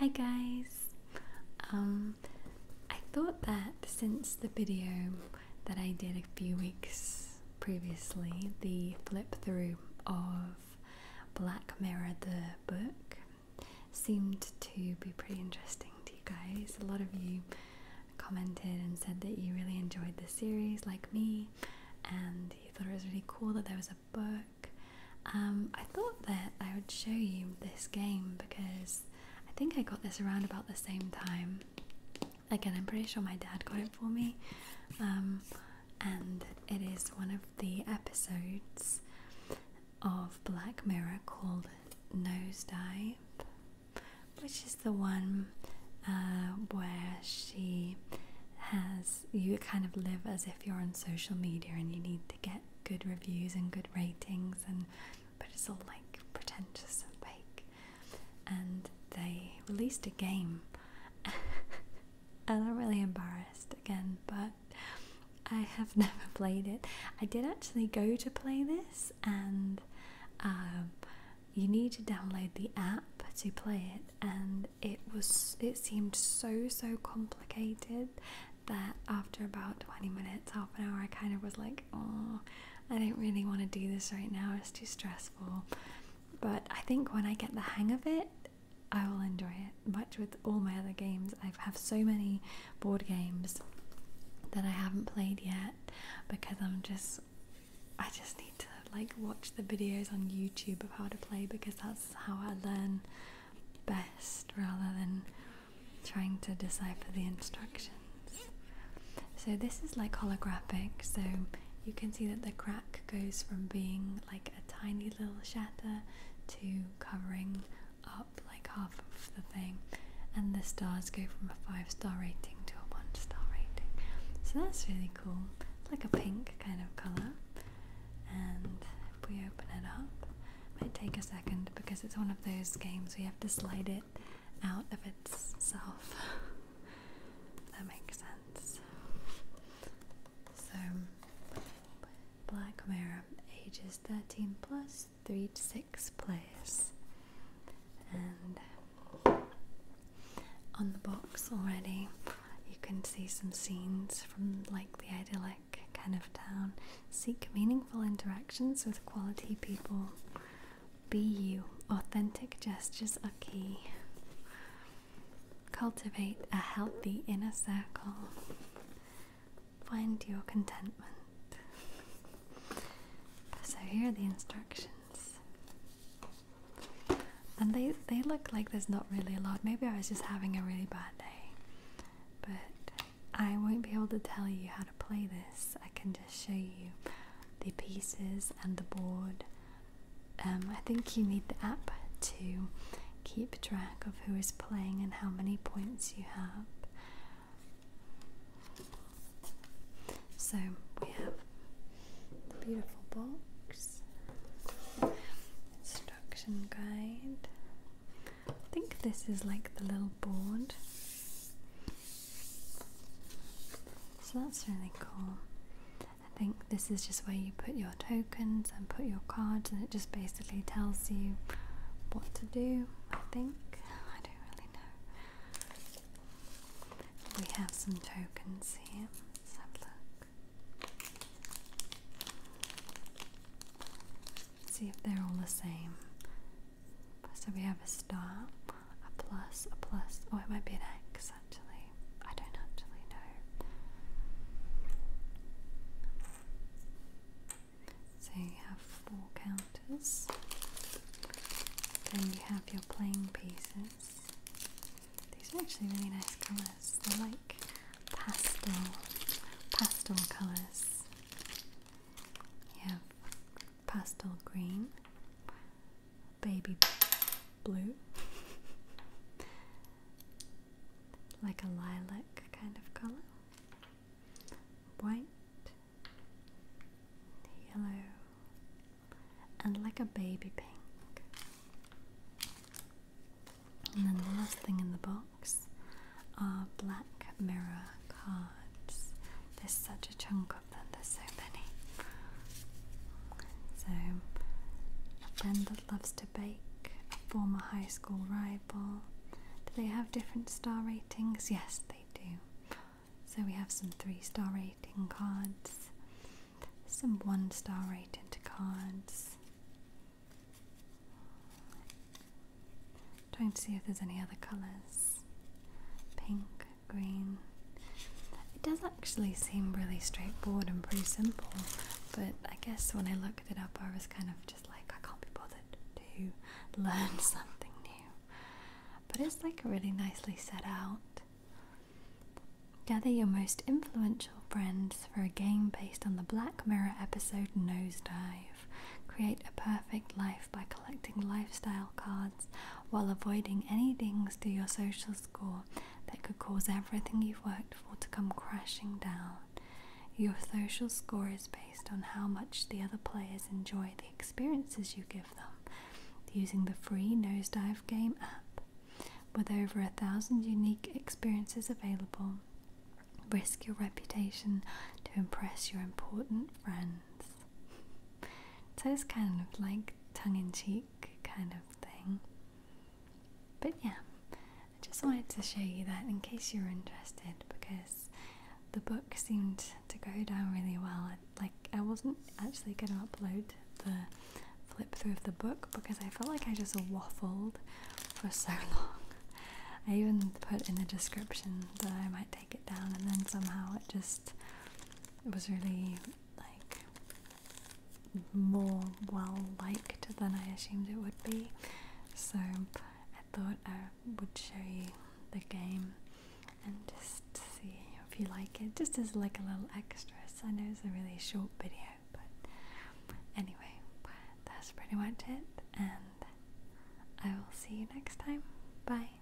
Hi guys! Um, I thought that since the video that I did a few weeks previously, the flip through of Black Mirror the book, seemed to be pretty interesting to you guys. A lot of you commented and said that you really enjoyed the series, like me, and you thought it was really cool that there was a book. Um, I thought that I would show you this game because I think I got this around about the same time. Again, I'm pretty sure my dad got it for me, um, and it is one of the episodes of Black Mirror called Nose Dive, which is the one uh, where she has you kind of live as if you're on social media and you need to get good reviews and good ratings and but it's all like pretentious and fake and they released a game and I'm really embarrassed again but I have never played it. I did actually go to play this and um, you need to download the app to play it and it was it seemed so so complicated that after about 20 minutes half an hour I kind of was like oh I don't really want to do this right now it's too stressful but I think when I get the hang of it I will enjoy it much with all my other games I have so many board games that I haven't played yet because I'm just I just need to like watch the videos on YouTube of how to play because that's how I learn best rather than trying to decipher the instructions. So this is like holographic, so you can see that the crack goes from being like a tiny little shatter to covering up like half of the thing and the stars go from a five star rating to a one star rating. So that's really cool. like a pink kind of colour. And if we open it up, it might take a second because it's one of those games we have to slide it out of itself. if that makes sense. So Black Mirror ages 13 plus 3 to 6 place. And on the box already, you can see some scenes from like the idyllic kind of town. Seek meaningful interactions with quality people. Be you. Authentic gestures are key. Cultivate a healthy inner circle. Find your contentment. So here are the instructions. And they, they look like there's not really a lot. Maybe I was just having a really bad day. But I won't be able to tell you how to play this. I can just show you the pieces and the board. Um, I think you need the app to keep track of who is playing and how many points you have. So we have the beautiful box, instruction guide. I think this is like the little board. So that's really cool. I think this is just where you put your tokens and put your cards, and it just basically tells you what to do. I think. I don't really know. We have some tokens here. Let's have a look. see if they're all the same. So we have a stop, a plus, a plus. Oh, it might be an X actually. I don't actually know. So you have four counters. Then you have your playing pieces. These are actually really nice colors I like pastel, pastel colours. You have pastel green, baby blue, like a lilac kind of color, white, yellow, and like a baby pink. And then the last thing in the box are black mirror cards. There's such a chunk of them, there's so many. So, a friend that loves Bake, a former high school rival. Do they have different star ratings? Yes, they do. So we have some three star rating cards, some one star rated cards. Trying to see if there's any other colours. Pink, green. It does actually seemed really straightforward and pretty simple, but I guess when I looked it up, I was kind of just like, I can't be bothered to learn something new. But it's like really nicely set out. Gather your most influential friends for a game based on the Black Mirror episode Nosedive. Create a perfect life by collecting lifestyle cards while avoiding any dings to your social score that could cause everything you've worked for to come crashing down. Your social score is based on how much the other players enjoy the experiences you give them using the free Nosedive Game app. With over a thousand unique experiences available, risk your reputation to impress your important friends. So it's kind of like tongue in cheek kind of thing. But yeah, I just wanted to show you that in case you are interested because the book seemed to go down really well. like, I wasn't actually going to upload the flip through of the book because I felt like I just waffled for so long. I even put in the description that I might take it down, and then somehow it just it was really like more well liked than I assumed it would be. So I thought I would show you the game and just see if you like it, just as like a little extra. So I know it's a really short video, but anyway, that's pretty much it, and I will see you next time. Bye.